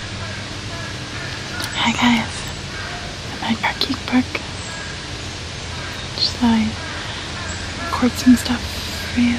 Hi guys, I'm at Parkeek Park. Just like I'd record some stuff for you.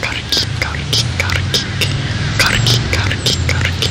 カルキカルキカルキカルキカルキカルキ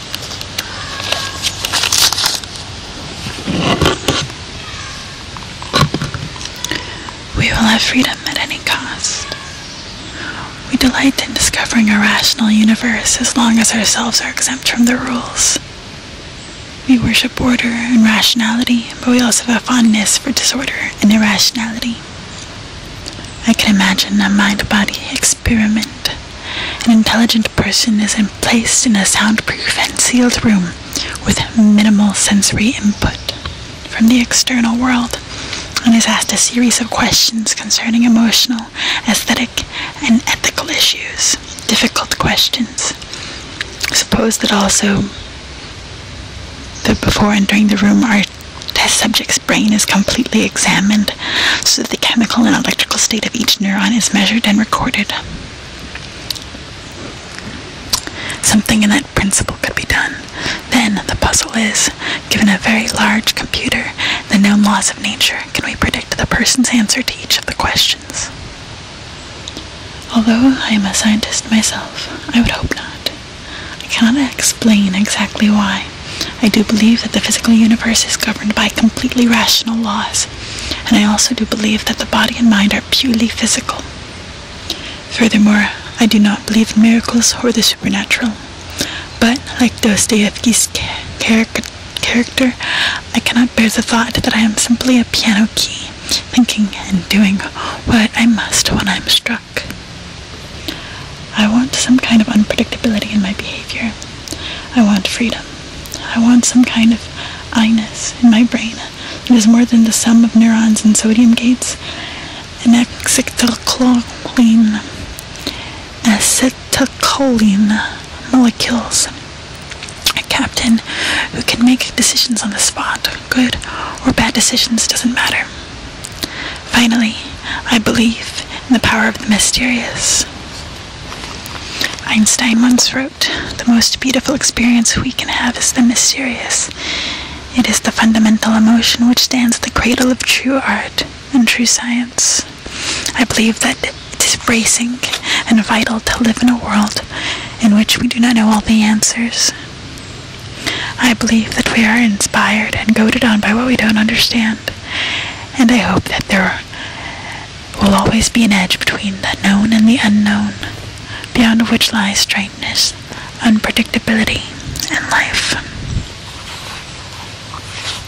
We will have freedom at any cost. We delight in discovering a rational universe as long as ourselves are exempt from the rules. We worship order and rationality, but we also have a fondness for disorder and irrationality. I can imagine a mind-body experience experiment. An intelligent person is placed in a soundproof and sealed room with minimal sensory input from the external world and is asked a series of questions concerning emotional, aesthetic, and ethical issues. Difficult questions. Suppose that also that before entering the room, our test subject's brain is completely examined so that the chemical and electrical state of each neuron is measured and recorded. Something in that principle could be done. Then the puzzle is given a very large computer, the known laws of nature, can we predict the person's answer to each of the questions? Although I am a scientist myself, I would hope not. I cannot explain exactly why. I do believe that the physical universe is governed by completely rational laws, and I also do believe that the body and mind are purely physical. Furthermore, I do not believe in miracles or the supernatural, but like Dostoevsky's char character, I cannot bear the thought that I am simply a piano key, thinking and doing what I must when I am struck. I want some kind of unpredictability in my behavior. I want freedom. I want some kind of I-ness in my brain It is more than the sum of neurons and sodium gates. Anacetylcholine. Acetylcholine molecules. A captain who can make decisions on the spot. Good or bad decisions doesn't matter. Finally, I believe in the power of the mysterious. Einstein once wrote, The most beautiful experience we can have is the mysterious. It is the fundamental emotion which stands the cradle of true art and true science. I believe that it is bracing and vital to live in a world in which we do not know all the answers. I believe that we are inspired and goaded on by what we don't understand, and I hope that there will always be an edge between the known and the unknown, beyond which lies strangeness, unpredictability, and life.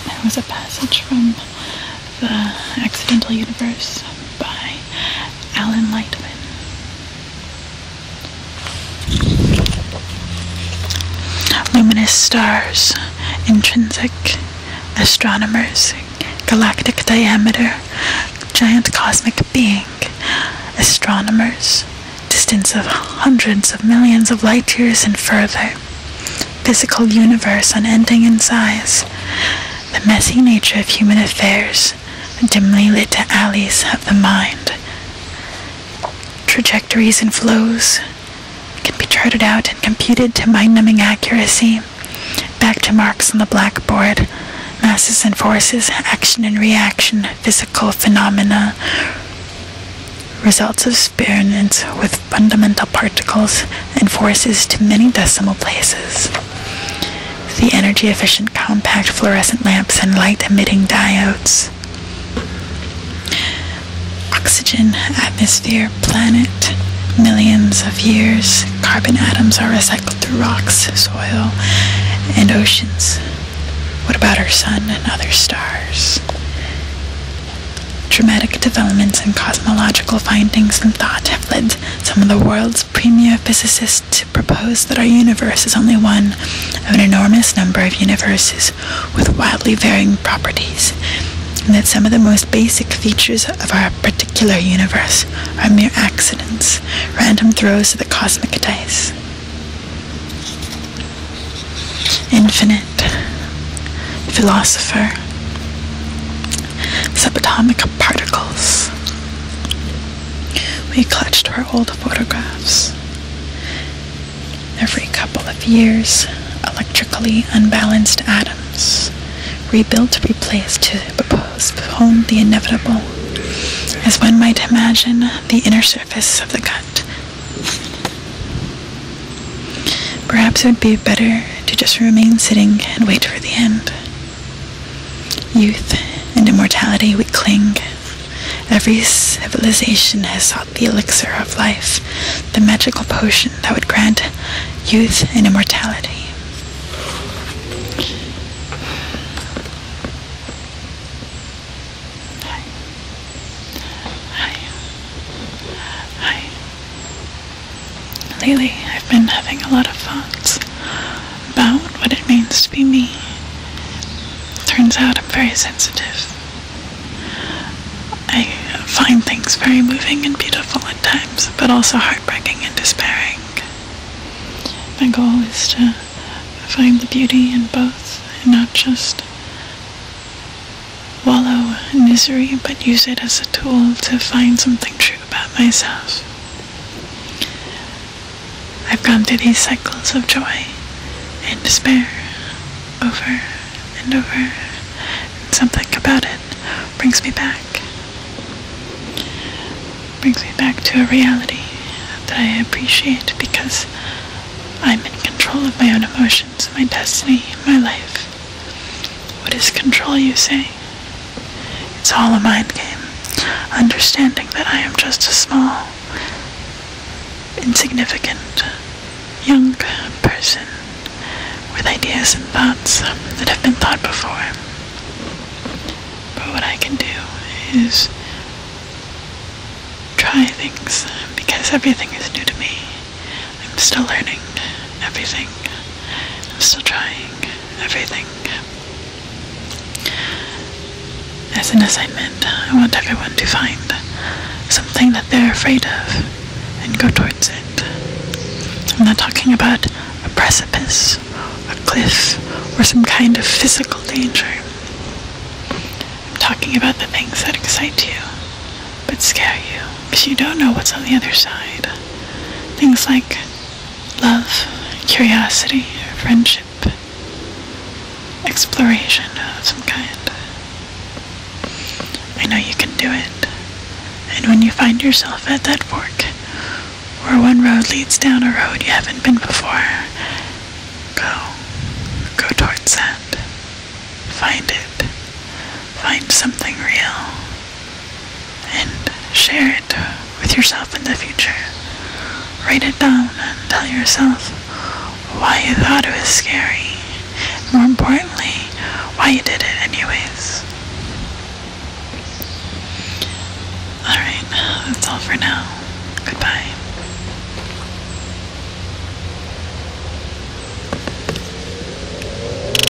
That was a passage from The Accidental Universe by Alan Lightman. Luminous stars, intrinsic, astronomers, galactic diameter, giant cosmic being, astronomers, distance of hundreds of millions of light years and further, physical universe unending in size, the messy nature of human affairs, dimly lit alleys of the mind, trajectories and flows can be charted out and computed to mind numbing accuracy. Back to marks on the blackboard masses and forces, action and reaction, physical phenomena, results of experiments with fundamental particles and forces to many decimal places. The energy efficient compact fluorescent lamps and light emitting diodes. Oxygen, atmosphere, planet, millions of years, carbon atoms are recycled through rocks, soil, and oceans. What about our sun and other stars? Dramatic developments in cosmological findings and thought have led some of the world's premier physicists propose that our universe is only one of an enormous number of universes with wildly varying properties, and that some of the most basic features of our particular universe are mere accidents, random throws of the cosmic dice. Infinite philosopher subatomic particles we clutched our old photographs. Every couple of years, electrically unbalanced atoms, rebuilt, replaced to postpone the inevitable. As one might imagine, the inner surface of the gut. Perhaps it would be better to just remain sitting and wait for the end. Youth and immortality we cling Every civilization has sought the elixir of life, the magical potion that would grant youth and immortality. Hi. Hi. Hi. Lately, I've been having a lot of thoughts about what it means to be me. Turns out I'm very sensitive. I find things very moving and beautiful at times, but also heartbreaking and despairing. My goal is to find the beauty in both and not just wallow in misery, but use it as a tool to find something true about myself. I've gone through these cycles of joy and despair over and over, and something about it brings me back. Brings me back to a reality that I appreciate because I'm in control of my own emotions, my destiny, my life. What is control, you say? It's all a mind game, understanding that I am just a small, insignificant, young person with ideas and thoughts um, that have been thought before. But what I can do is try things uh, because everything is new to me. I'm still learning everything. I'm still trying everything. As an assignment, I want everyone to find something that they're afraid of and go towards it. I'm not talking about a precipice, a cliff, or some kind of physical danger. I'm talking about the things that excite you but scare you because you don't know what's on the other side. Things like love, curiosity, friendship, exploration of some kind. I know you can do it. And when you find yourself at that fork, where one road leads down a road you haven't been before, go. Go towards that. Find it. Find something real and share it with yourself in the future. Write it down and tell yourself why you thought it was scary. More importantly, why you did it anyways. Alright, that's all for now. Goodbye.